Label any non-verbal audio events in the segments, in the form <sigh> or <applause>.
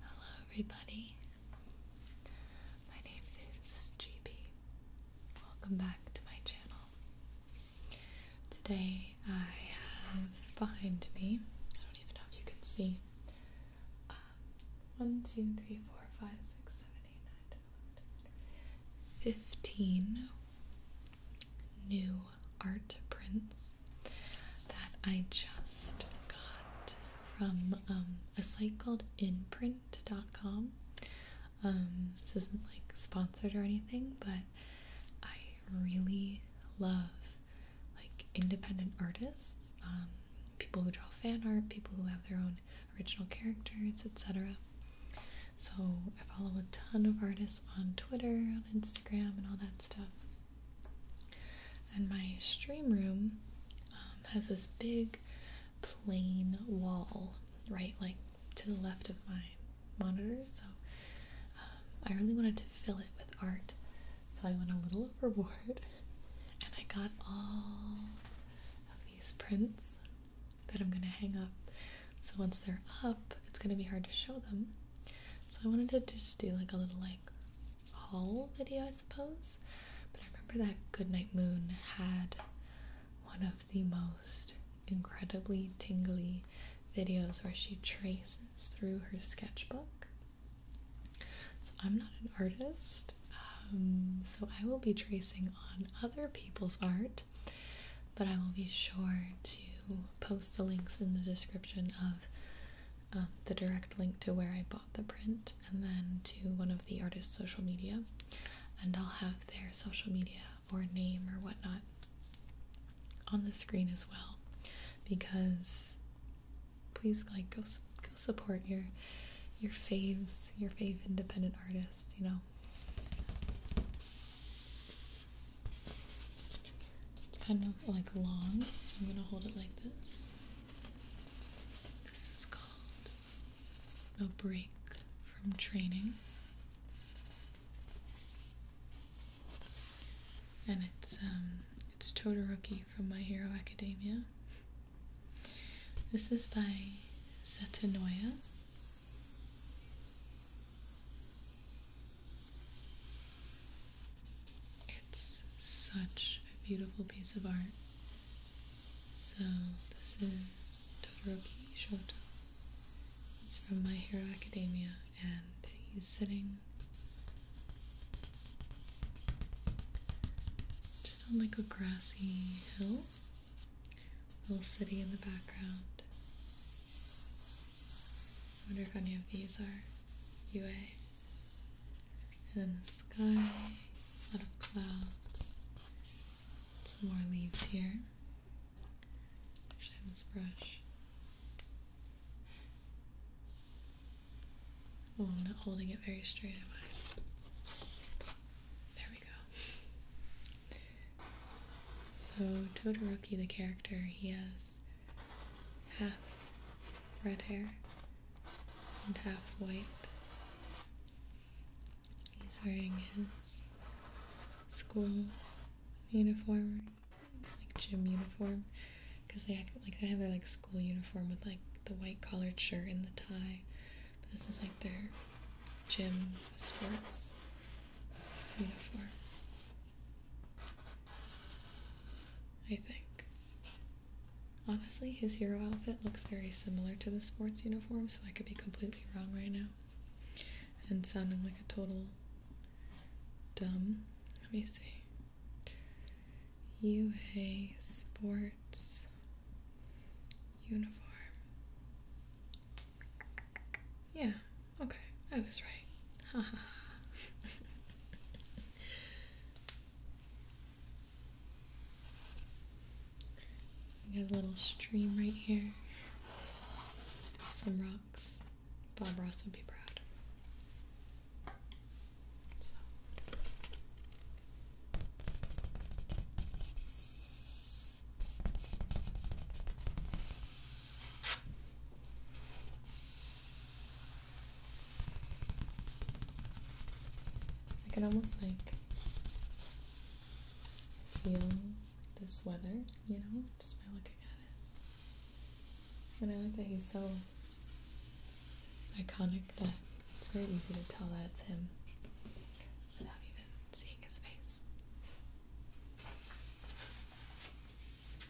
Hello, everybody. My name is GB. Welcome back to my channel. Today I have behind me, I don't even know if you can see, uh, 1, new art prints that I just got from um, a site called inprint.com. Um, this isn't like sponsored or anything, but I really love like independent artists, um, people who draw fan art, people who have their own original characters, etc. So I follow a ton of artists on Twitter, on Instagram, and all that stuff. And my stream room um, has this big plain wall, right, like to the left of my monitor. So um, I really wanted to fill it with art, so I went a little <laughs> overboard, and I got all of these prints that I'm gonna hang up. So once they're up, it's gonna be hard to show them. So I wanted to just do like a little like haul video, I suppose. But I remember that Goodnight Moon had one of the most incredibly tingly videos where she traces through her sketchbook. So I'm not an artist, um, so I will be tracing on other people's art, but I will be sure to post the links in the description of um, the direct link to where I bought the print and then to one of the artist's social media, and I'll have their social media or name or whatnot on the screen as well because please like go go support your your faves your fave independent artists you know it's kind of like long, so I'm gonna hold it like this. This is called a break from training. And it's um it's Todoroki from My Hero Academia. This is by Setanoia. It's such a beautiful piece of art. So, this is Todoroki Shoto. He's from My Hero Academia, and he's sitting just on like a grassy hill, little city in the background. I wonder if any of these are UA. And then the sky, a lot of clouds, some more leaves here. Should I have this brush? Oh, I'm not holding it very straight, am I? So Todoroki, the character, he has half red hair and half white. He's wearing his school uniform, like gym uniform, because they have, like they have their like school uniform with like the white collared shirt and the tie. But this is like their gym sports uniform. I think. Honestly, his hero outfit looks very similar to the sports uniform, so I could be completely wrong right now. And sounding like a total dumb. Let me see. UA Sports Uniform. Yeah, yeah, okay, I was right. We <laughs> got a little stream right here. Some rocks. Bob Ross would be proud. So. I can almost like feel this weather, you know, just by looking at it. And I like that he's so iconic that it's very easy to tell that it's him without even seeing his face.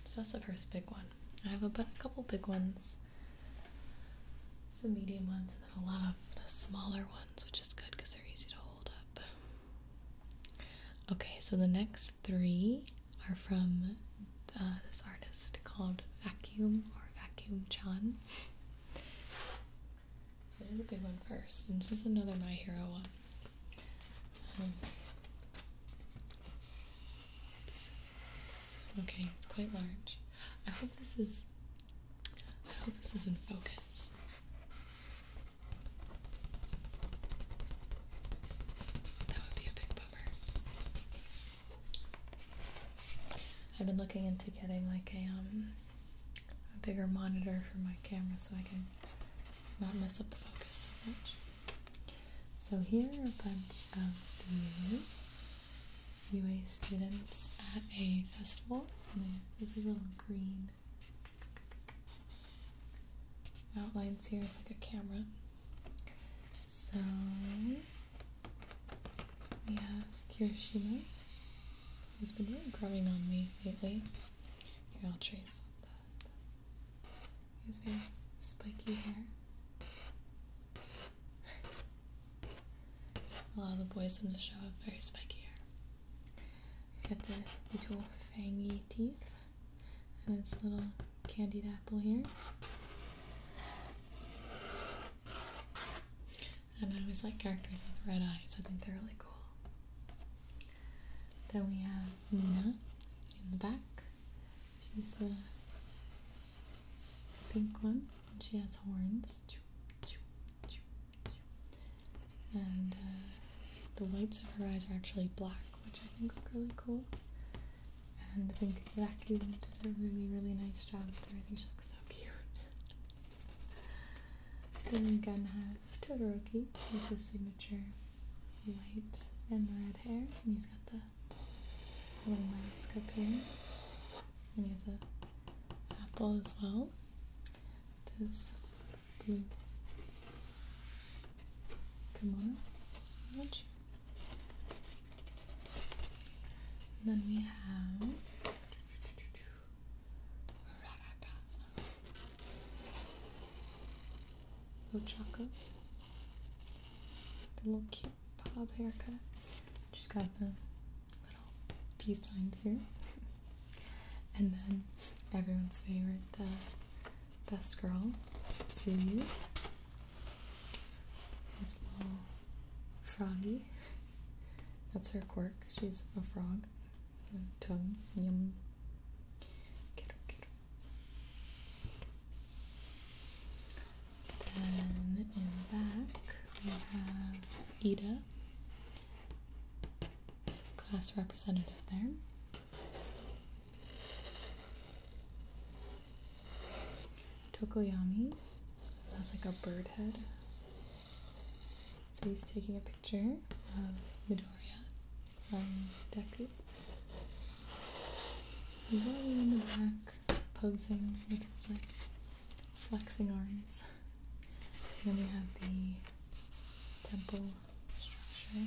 So that's the first big one. I have a, couple big ones, some medium ones, and a lot of the smaller ones, which is good because they're easy to hold up. Okay, so the next three are from uh, this artist called Vacuum or Vacuum John. So I the big one first, and this is another My Hero one. Um, okay, it's quite large. I hope this is. I hope this is in focus. That would be a big bummer. I've been looking into getting like a um a bigger monitor for my camera so I can not mess up the focus so much. So here are a bunch of the UA students at a festival. And there's a little green outlines here. It's like a camera. So we have Kirishima, who's been grumbling on me lately. Here, I'll trace he has very spiky hair. A lot of the boys in the show have very spiky hair. He's got the little fangy teeth and his little candied apple here. And I always like characters with red eyes, I think they're really cool. Then we have Nina in the back. She's the pink one, and she has horns. And uh, the whites of her eyes are actually black, which I think look really cool. And I think Vacuum did a really, really nice job there. I think she looks so cute. <laughs> then Gun has have Todoroki with his signature White and red hair, and he's got the little mask up here, and he has a apple as well. This blue Come on, And then we have Uraraka. Ochako. The little cute bob haircut. Just got the little peace signs here. <laughs> and then everyone's favorite uh, best girl, Tsuyu. This little froggy. That's her quirk. She's a frog. Her tongue. Yum. Then in the back we have Ida, class representative there. Tokoyami has like a bird head. So he's taking a picture of Midoriya from Deku. He's already in the back posing with his like flexing arms. then we have the temple structure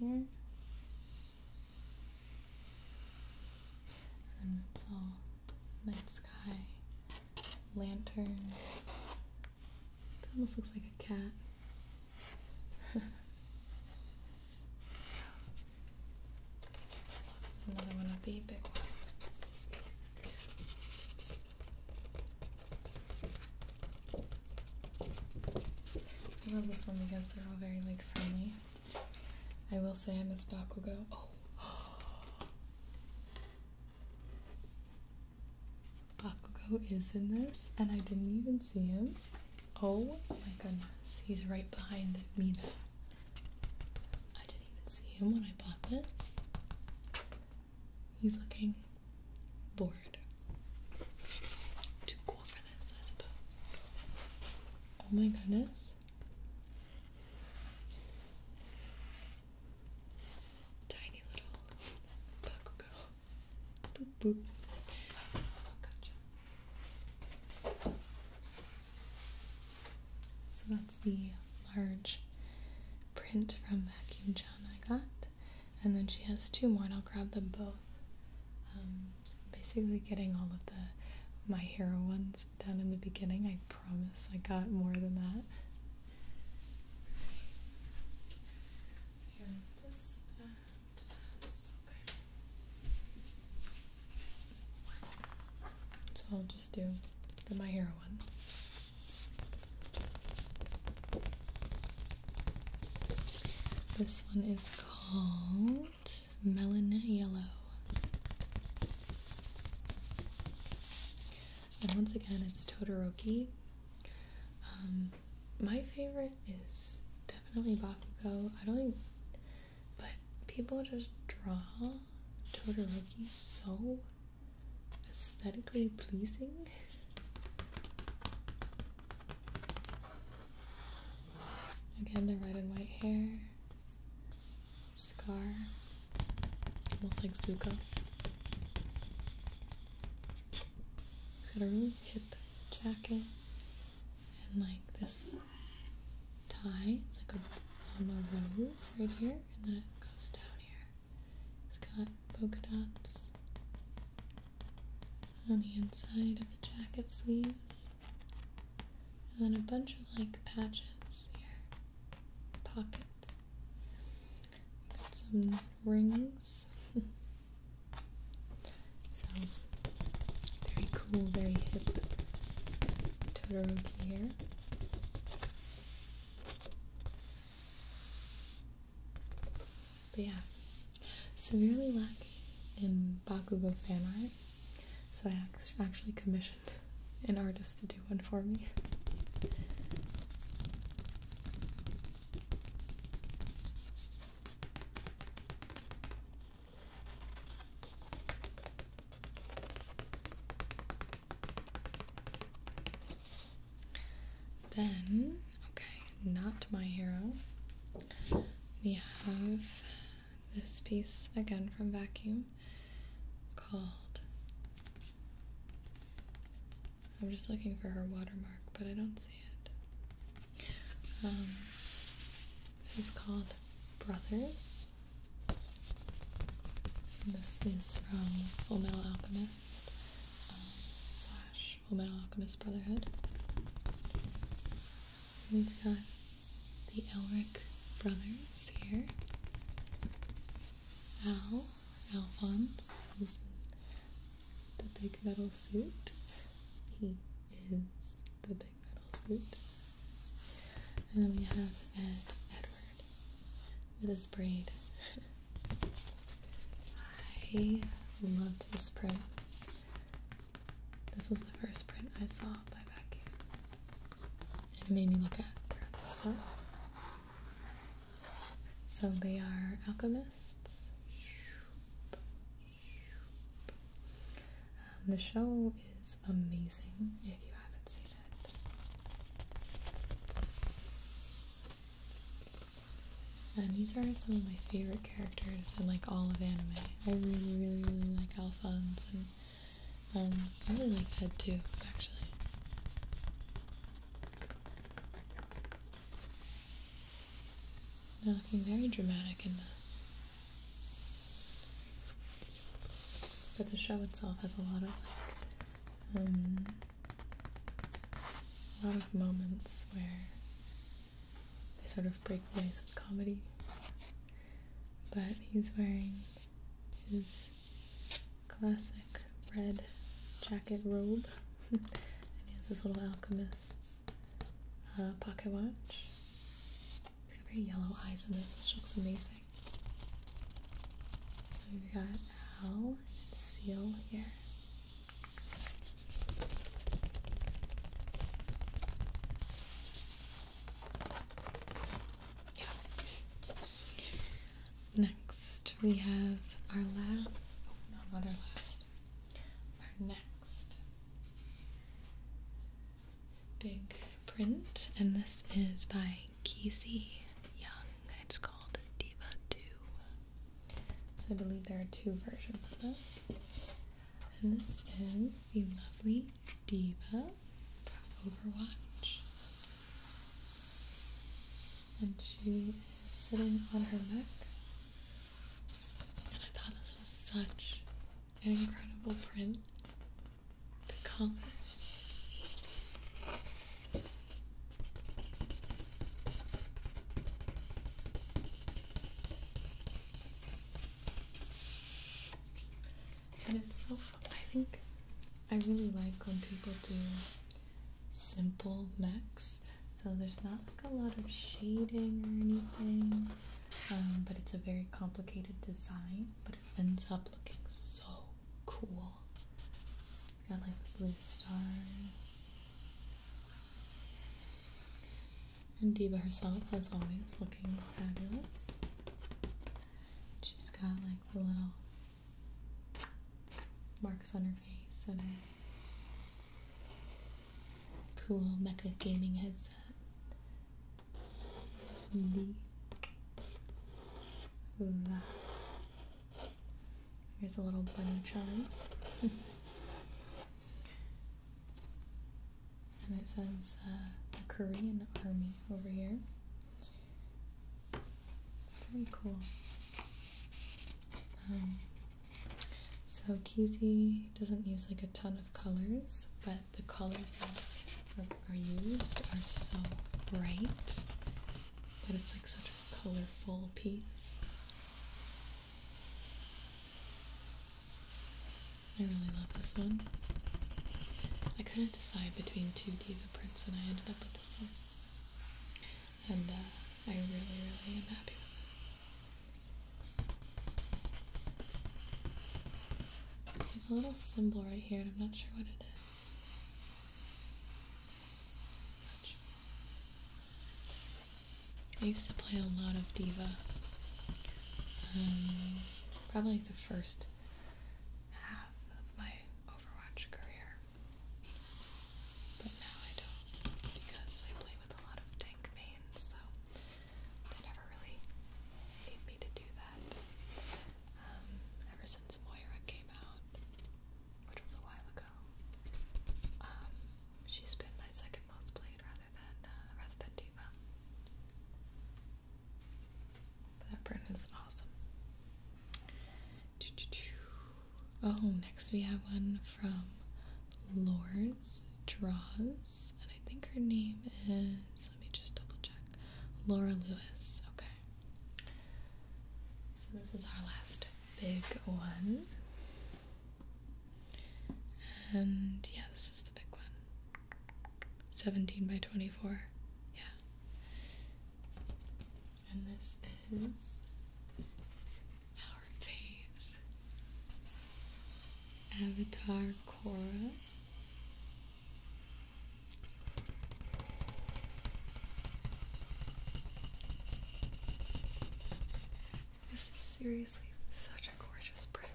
here. And it's all night sky, lantern. It almost looks like a cat so, there's another one of the big ones. I love this one because they're all very like friendly. I will say I miss Bakugo. Oh. <gasps> Bakugo is in this, and I didn't even see him. Oh my goodness, he's right behind me now. I didn't even see him when I bought this. He's looking bored. Too cool for this, I suppose. Oh my goodness. Tiny little Bakugo. Boop boop. gotcha. So that's the large print from Vacuum John I got. And then she has two more, and I'll grab them both. Um, basically, getting all of the My Hero ones done in the beginning. I promise I got more than that. Uh, so I'll just do the My Hero one. This one is called Melon Yellow. And once again, it's Totoroki. Um, my favorite is definitely Bakugo. I don't think, but people just draw Todoroki so aesthetically pleasing. Again, the red and white hair, scar, almost like Zuko. He's got a really hip jacket, and like this tie. It's like a, rose right here, and then it goes down here. It's got polka dots on the inside of the jacket sleeves, and then a bunch of like patches here, pockets. Got some rings. <laughs> So very cool, very hip Todoroki here. But yeah, severely lacking in Bakugo fan art, so I actually commissioned an artist to do one for me. Then, okay, not my hero. We have this piece again from Vacuum called. I'm just looking for her watermark, but I don't see it. Um, this is called Brothers. this is from Full Metal Alchemist um, slash Full Metal Alchemist Brotherhood. We've got the Elric brothers here. Al, Alphonse, is the big metal suit. He is the big metal suit. And then we have Ed Edward with his braid. I loved this print. This was the first print I saw by Vacuum. And it made me look at their other stuff. So they are alchemists. Um, the show is amazing if you haven't seen it. And these are some of my favorite characters in like all of anime. I really, really, really like Alphonse and um, I really like Ed too, actually. They're looking very dramatic in this. But the show itself has a lot of um, a lot of moments where they sort of break the ice of comedy. But he's wearing his classic red jacket robe, <laughs> and he has this little alchemist's uh, pocket watch. He's got very yellow eyes in this, which looks amazing. We've got Al and Seal here. Next, we have our last, oh, not our last, our next big print, and this is by Kesey Young. It's called Diva 2. So I believe there are two versions of this. And this is the lovely Diva from Overwatch. And she is sitting on her back. And I thought this was such an incredible print. The colors. And it's so I think I really like when people do simple mechs. So there's not like a lot of shading or anything. Um, but it's a very complicated design, but it ends up looking so cool. Got like the blue stars. And Diva herself, as always, looking fabulous. She's got like the little marks on her face and cool mecha gaming headset. Li. La. Here's a little bunny charm. <laughs> and it says uh, the Korean army over here. Very cool. Um, so Kizi doesn't use like a ton of colors, but the colors that are, used are so bright that it's like such a colorful piece. I really love this one. I couldn't decide between two diva prints and I ended up with this one. And uh, I really, really am happy with it. There's like a little symbol right here, and I'm not sure what it is. I used to play a lot of Diva. Um, probably the first half of my Overwatch career. But now I don't because I play with a lot of tank mains, so they never really gave me to do that. Um, ever since Moira came out, which was a while ago, um, she's been my second most played rather than uh, rather than Diva. that burn is awesome. Oh, next we have one from Lords Draws and I think her name is, let me just double check, Laura Lewis. Okay. So this is our last big one. And yeah, this is the big one. 17 by 24. Yeah. And this is our fave Avatar Korra. This is seriously such a gorgeous print.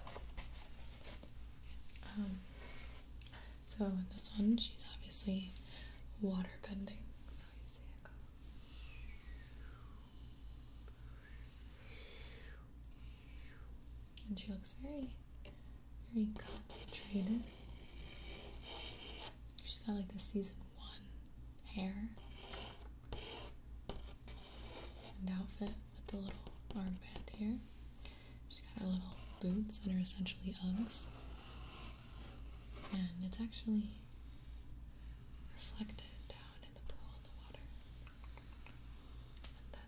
Um, so in this one, she's obviously water bending. And she looks very, very concentrated. She's got like the season one hair and outfit with the little armband here. She's got her little boots that are essentially Uggs. And it's actually reflected down in the pool in the water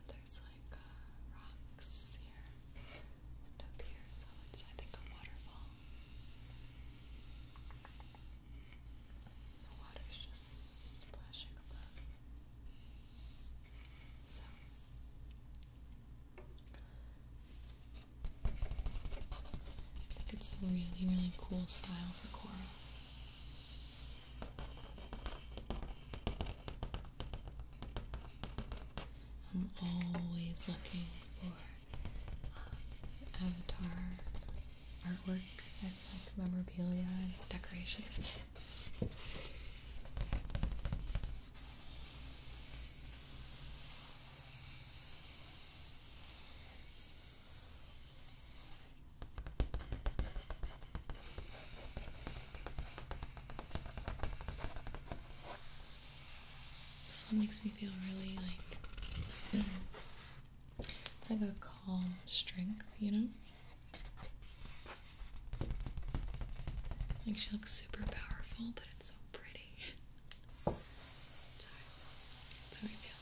there's like uh, rocks here and up here, so it's I think a waterfall. The water's just splashing above. So I think it's a really, really cool style for coral. I'm always looking for uh, avatar artwork and like memorabilia and decorations. This one makes me feel really like it's like a calm strength, you know? Like she looks super powerful, but it's so pretty. Sorry. That's how I feel.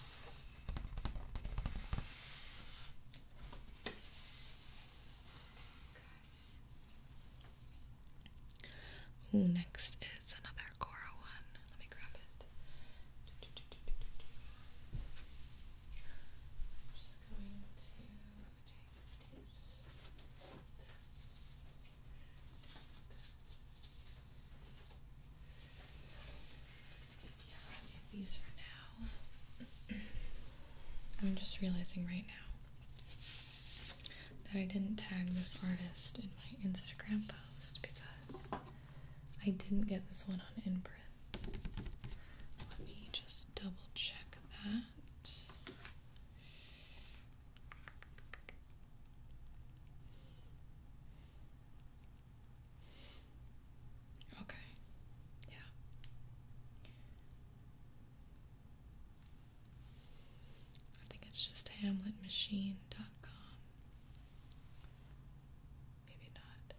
Okay. next is another Cora one. Let me grab it. I'm just going to take this. this. Yeah, I'll do these for now. I'm just realizing right now that I didn't tag this artist in my Instagram post because I didn't get this one on imprint. Let me just double check that. Okay. Yeah. I think it's just hamletmachine.com. Maybe not.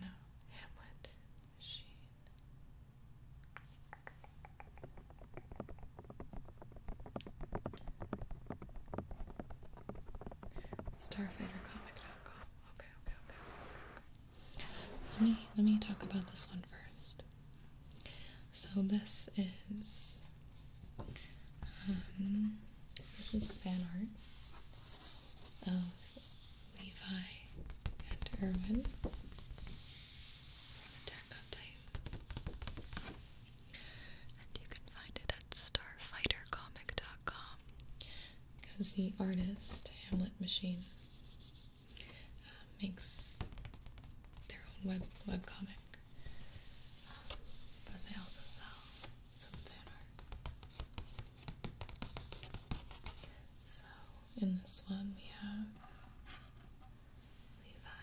no, Hamlet Machine. Starfightercomic.com. Okay, okay, okay. Let me let me talk about this one first. So this is um, this is a fan art of Levi and Irwin from Attack and you can find it at StarfighterComic.com because the artist, Hamlet Machine, uh, makes their own web webcomic. Um, but they also sell some fan art. So in this one we have Levi.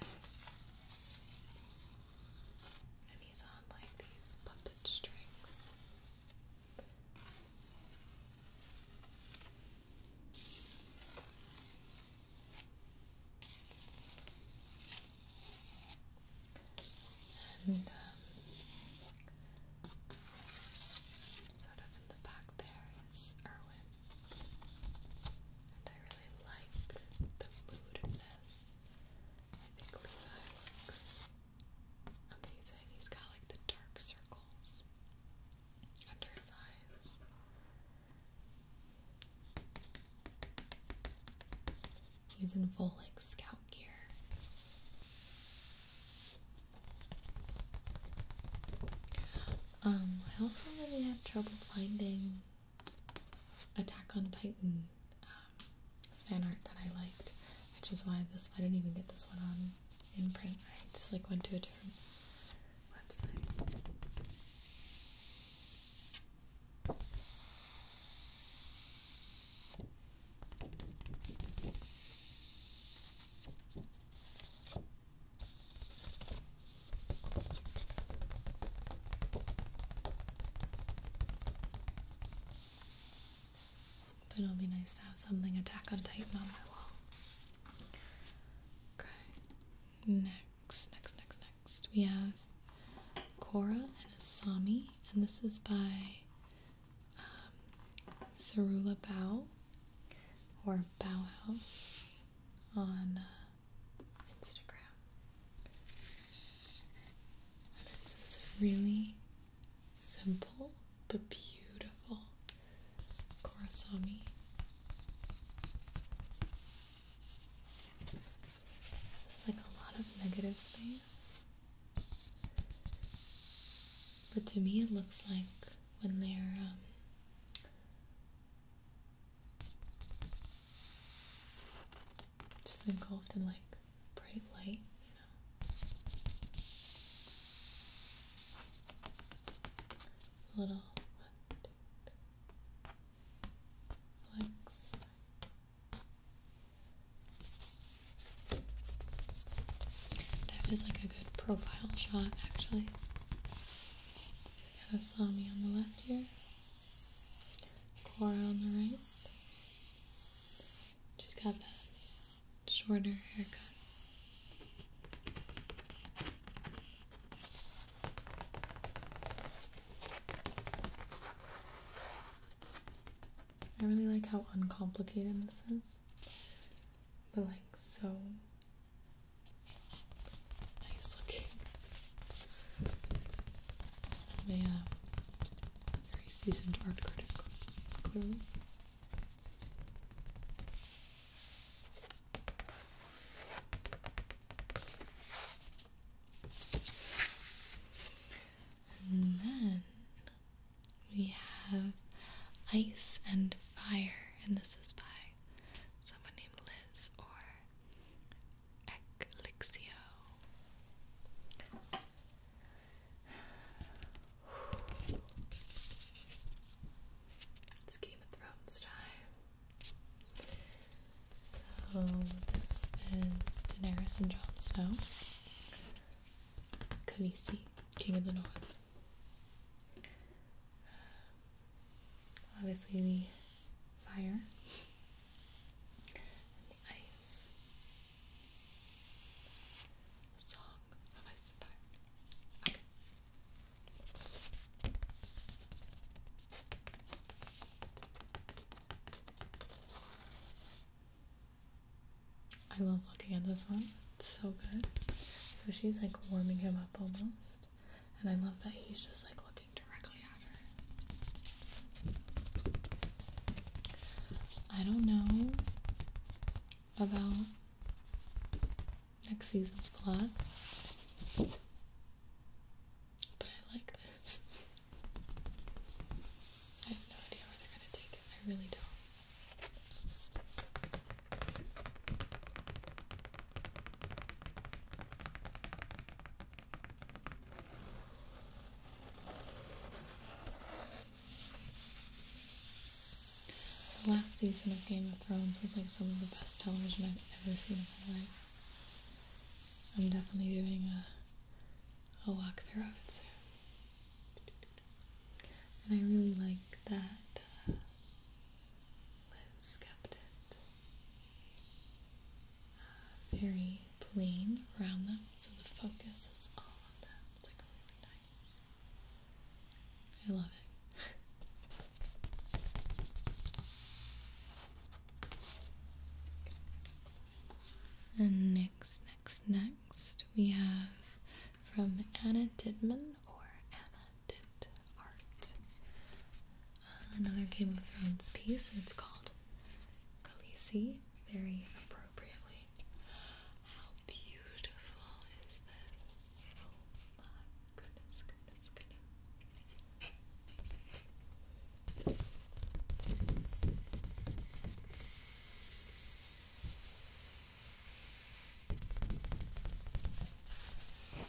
And he's on like these puppet strings. And um, sort of in the back there is Erwin. And I really like the mood of this. I think Levi looks Amazing. He's got like the dark circles under his eyes. He's in full like scout gear. Um, I also really had trouble finding Attack on Titan um, fan art that I liked, which is why this I didn't even get this one on in print, right? Just like went to a different website. But it'll be nice to have something Attack on Titan on my wall. Okay. Next, next, next, next. We have Cora and Asami, and this is by um, Cerula Bao or Bauhaus on uh, Instagram. And it's this really simple but beautiful Kurosami. There's like a lot of negative space. But to me, it looks like when they're um, just engulfed in like bright light, know. Little flex. That was like a good profile shot, actually. I got Asami on the left here, Cora on the right. Just got that shorter haircut. I really like how uncomplicated this is, but like so nice looking. i very seasoned art critic, clearly. And then we have Ice and Fire, and this is by someone named Liz or Eclixio. It's Game of Thrones time. So this is Daenerys and Jon Snow. Khaleesi, King of the North. Obviously the fire the ice. I love looking at this one. It's so good. So she's like warming him up almost. And I love that he's just like looking directly at her. I don't know about next season's plot. But I like this. I have no idea where they're gonna take it. I really don't. The last season of Game of Thrones was like some of the best television I've ever seen in my life. I'm definitely doing a, a walkthrough of it soon. And I really like that uh, Liz kept it uh, very plain around them, so the focus is on them. It's like really nice. I love it. <laughs> and next, next, next, we have from Anna Didman or Anna Did Art. another Game of Thrones piece. It's called Khaleesi. Very appropriately. How beautiful is this? Oh my goodness, goodness,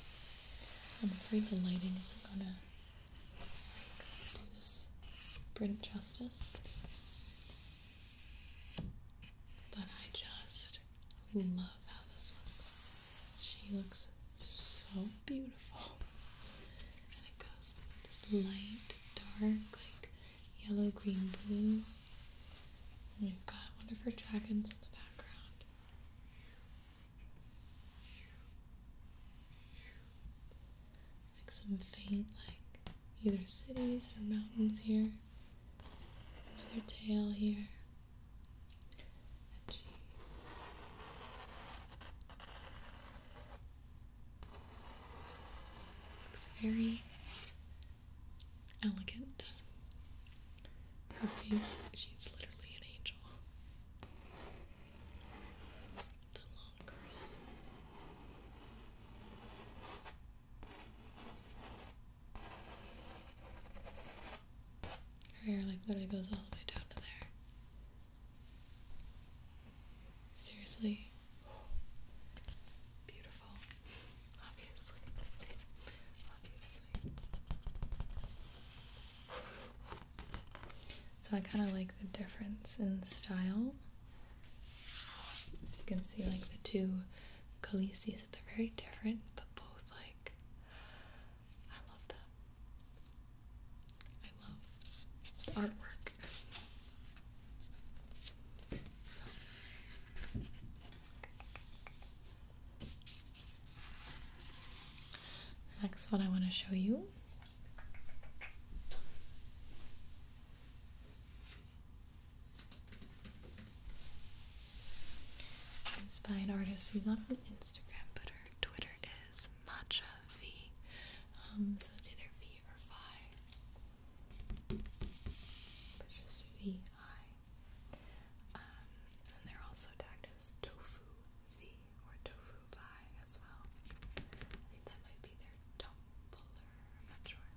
goodness. I'm afraid the lighting isn't gonna do this print justice, but I just Love how this looks. She looks so beautiful. And it goes with this light, dark, like yellow, green, blue. we've got one of her dragons in the background. Like some faint, like either cities or mountains here another tail here, Looks very elegant. Her face, she's literally an angel. The long curls. Her hair like literally goes all the way down to there. Seriously? <gasps> Beautiful. Obviously. Obviously. So I kind of like the difference in style. You can see like the two Khaleesi's. They're very different, but both like I love them. I love artwork. So next one I want to show you Inspired artist who's not on Instagram, but her Twitter is Matcha V. Um, so it's either V or Vi. But just V I. Um, and they're also tagged as Tofu V or Tofu Vi as well. I think that might be their Tumblr I'm not sure.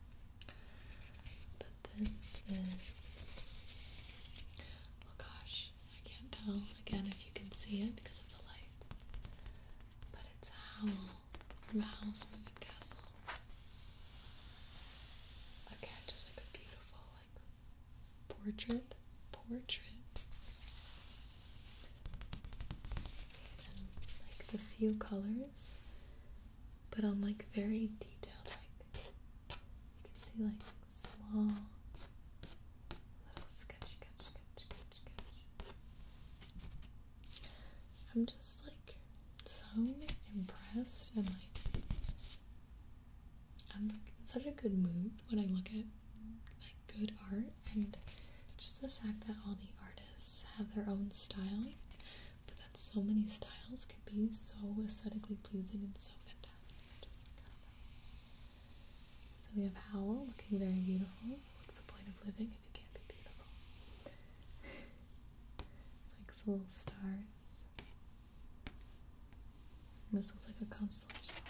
But this is. Oh gosh, I can't tell again if you can see it because of the lights. But it's Howl from Howl's Moving Castle. Again, just like a beautiful, like, portrait. Portrait. like the few colors but on like very detailed like you can see like small little sketch sketch sketch sketch sketch. I'm just like so impressed and like I'm like in such a good mood when I look at like good art and just the fact that all the artists have their own style that so many styles can be so aesthetically pleasing and so fantastic. so we have Owl looking very beautiful. What's the point of living if you can't be beautiful? <laughs> Likes little stars. this looks like a constellation.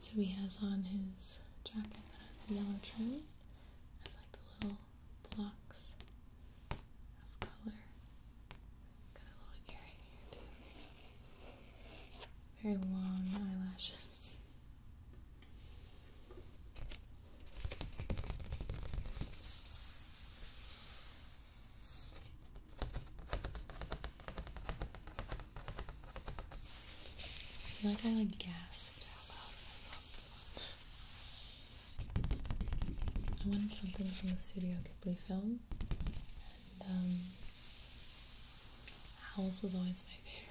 So he has on his jacket that has the yellow trim the little blocks of color. Got a little earring Very long eyelashes. I feel like I like gasped out loud I wanted something from the Studio Ghibli film, and um, Howl's was always my favorite.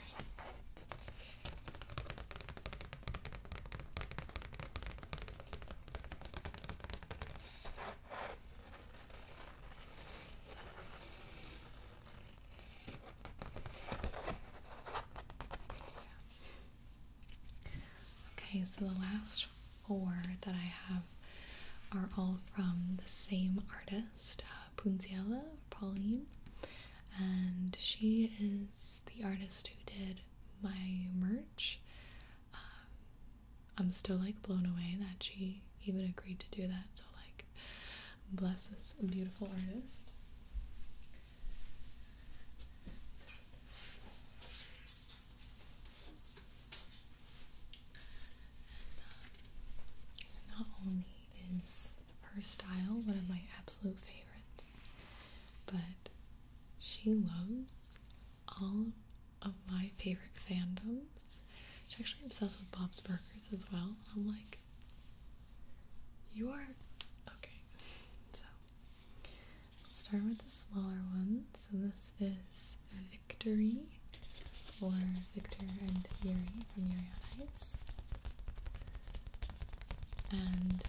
Okay, so the last four that I have are all from the same artist, uh, Punziella Pauline, and she is the artist who did my merch. Um, I'm still like blown away that she even agreed to do that. So like, bless this beautiful artist. Uh, not only is her style one of my absolute favorites, but she loves all of my favorite fandoms. She's actually obsessed with Bob's Burgers as well. I'm like, you are okay. So I'll start with the smaller one. So this is Victory for Victor and Yuri from Yuri on Ice. And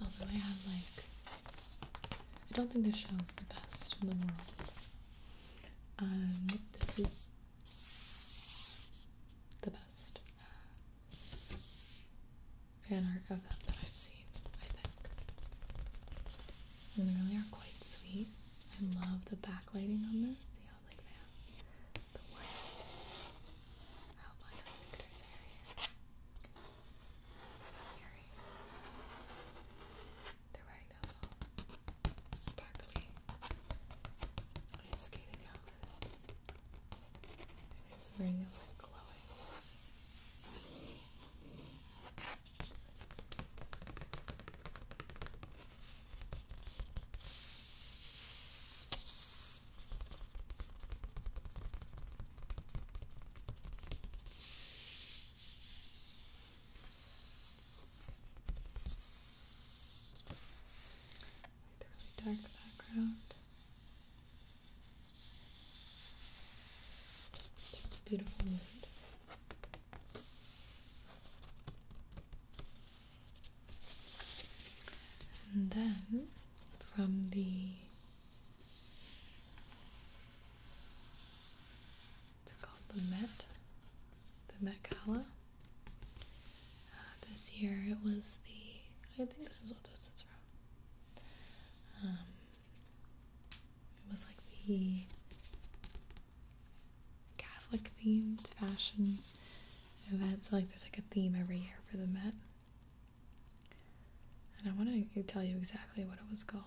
although I have like I don't think this show is the best in the world. Um this is the best fan art of them that I've seen, I think. And they really are quite sweet. I love the backlighting on this. See how like they the white outline of the area. they're wearing that sparkly ice skating its ring is like glowing like the really dark background. beautiful mood. And then from the it's called the Met, the Met color. Uh, this year it was the. I think this is what this is from. Um, it was like the Catholic themed fashion event. So, like, there's like a theme every year for the Met. And I want to tell you exactly what it was called.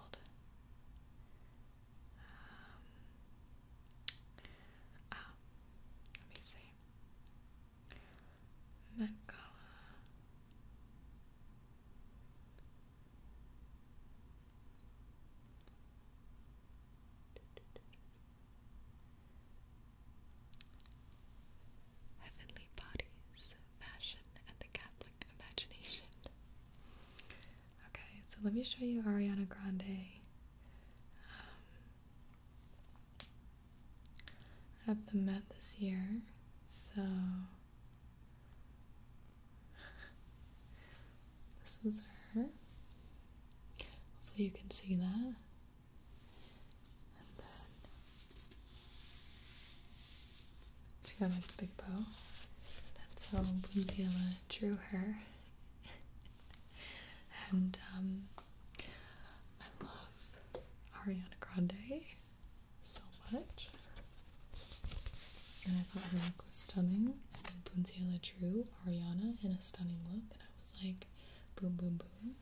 Um, ah, let me see. Heavenly Bodies, Fashion and the Catholic Imagination. Okay, so let me show you Ariana Grande. Um, at the Met this year, so this was her. Hopefully, you can see that. she got like a big bow. That's how Blinziela drew her. <laughs> and um, I love Ariana Grande so much. And I thought her look was stunning. And then Bunzilla drew Ariana in a stunning look, and I was like, boom, boom, boom.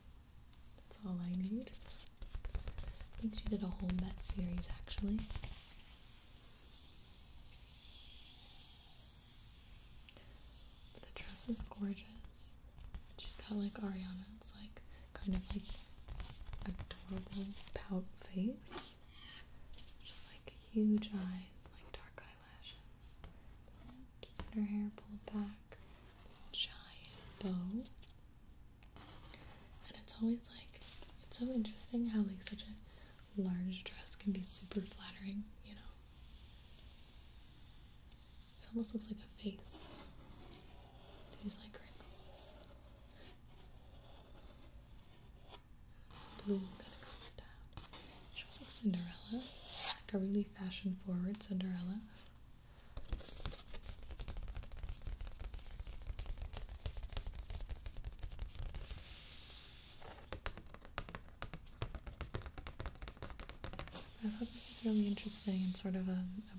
That's all I need. I think she did a whole Met series actually. The dress is gorgeous. She's got like Ariana. It's like kind of like adorable pout face. Just like huge eyes, like dark eyelashes, lips, and her hair pulled back, giant bow. And it's always like it's so interesting how like such a large dress can be super flattering, you know. This almost looks like a face. These like wrinkles. Blue kind of comes down. She's like Cinderella, like a really fashion forward Cinderella. I thought this was really interesting and sort of a,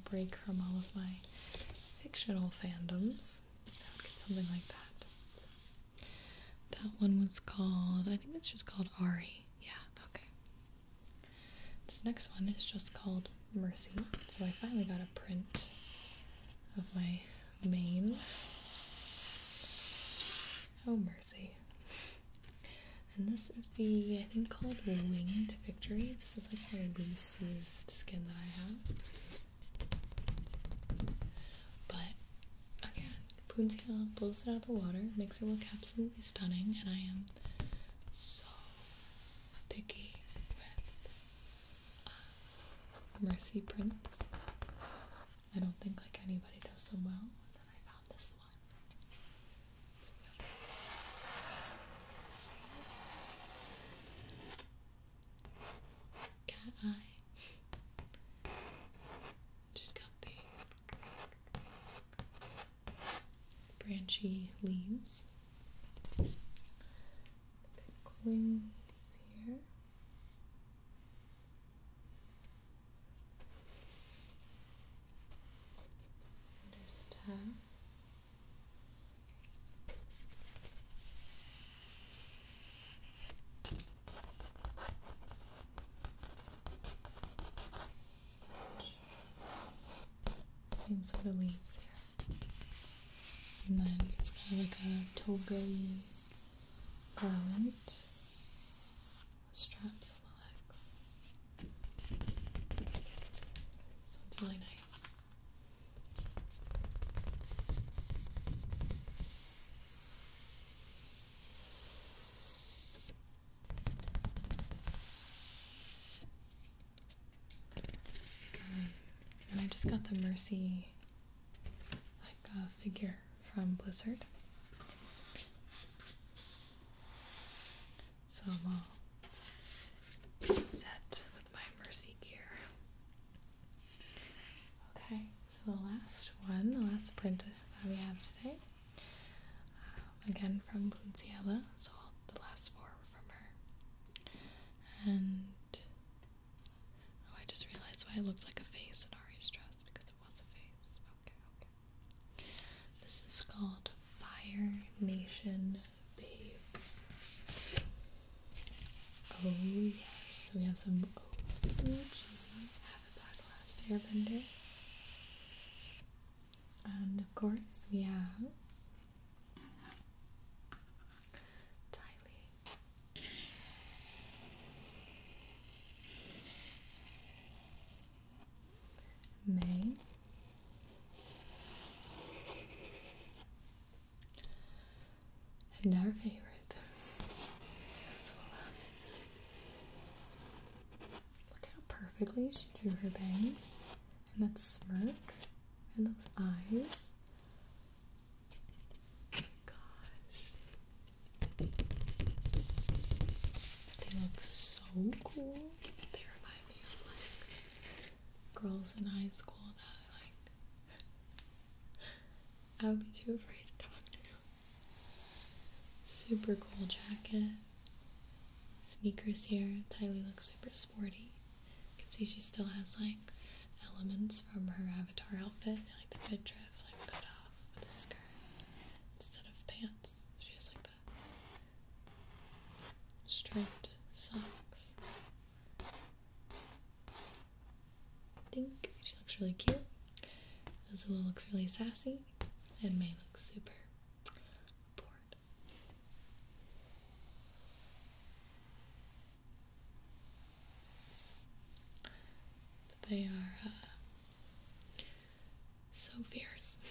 break from all of my fictional fandoms. I would get something like that. that one was called, I think it's just called Ari. Yeah, okay. This next one is just called Mercy. So I finally got a print of my mane. Oh, mercy. And this is the, I think, called Winged Victory. This is like Harry Beast used skin that I have. But again, Poonziel blows it out of the water, makes her look absolutely stunning, and I am so picky with uh, Mercy Prince. I don't think like anybody does them well this one. Cat eye. she got the branchy leaves. The here. Understand. Same like the leaves here. And then it's kind of like a toga element straps on the legs. So it's really nice. Um, and I just got the Mercy like uh, figure from Blizzard. So I'm all set with my mercy gear. Okay, so the last one, the last print that we have today, um, again from Blunciella, so the last four were from her. And oh, I just realized why it looks like a face in Ari's dress because it was a face. Okay, okay. This is called Fire Nation Babes. Oh yes, we have some OG Avatar The Last Airbender. And of course we have Tylee. May. And our favorite, Look how perfectly she drew her bangs and that smirk and those eyes. They look so cool. They remind me of like girls in high school that like I would be too afraid to talk to. Super cool jacket. Sneakers here. Tylee looks super sporty. You can see she still has like elements from her avatar outfit, like the drift, like cut off with a skirt instead of pants. She has like Striped socks. I think she looks really cute. Azula looks really sassy, and May looks super bored. they are uh, so fierce. So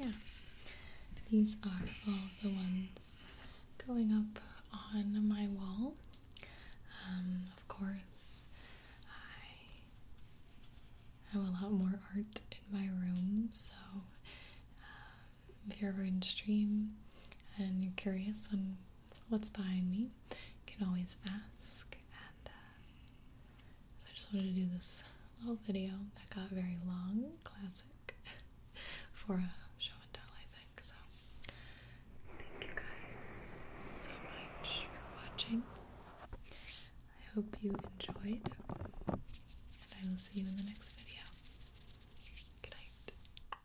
yeah, these are all the ones going up on my wall. Um, of course, I have a lot more art in my room, so um, if you're ever in stream and you're curious on what's behind me, you can always ask. And uh, I just wanted to do this little video that got very long, classic, <laughs> for a show and tell, I think. So Thank you guys so much for watching. I hope you enjoyed, and I will see you in the next video. Good night.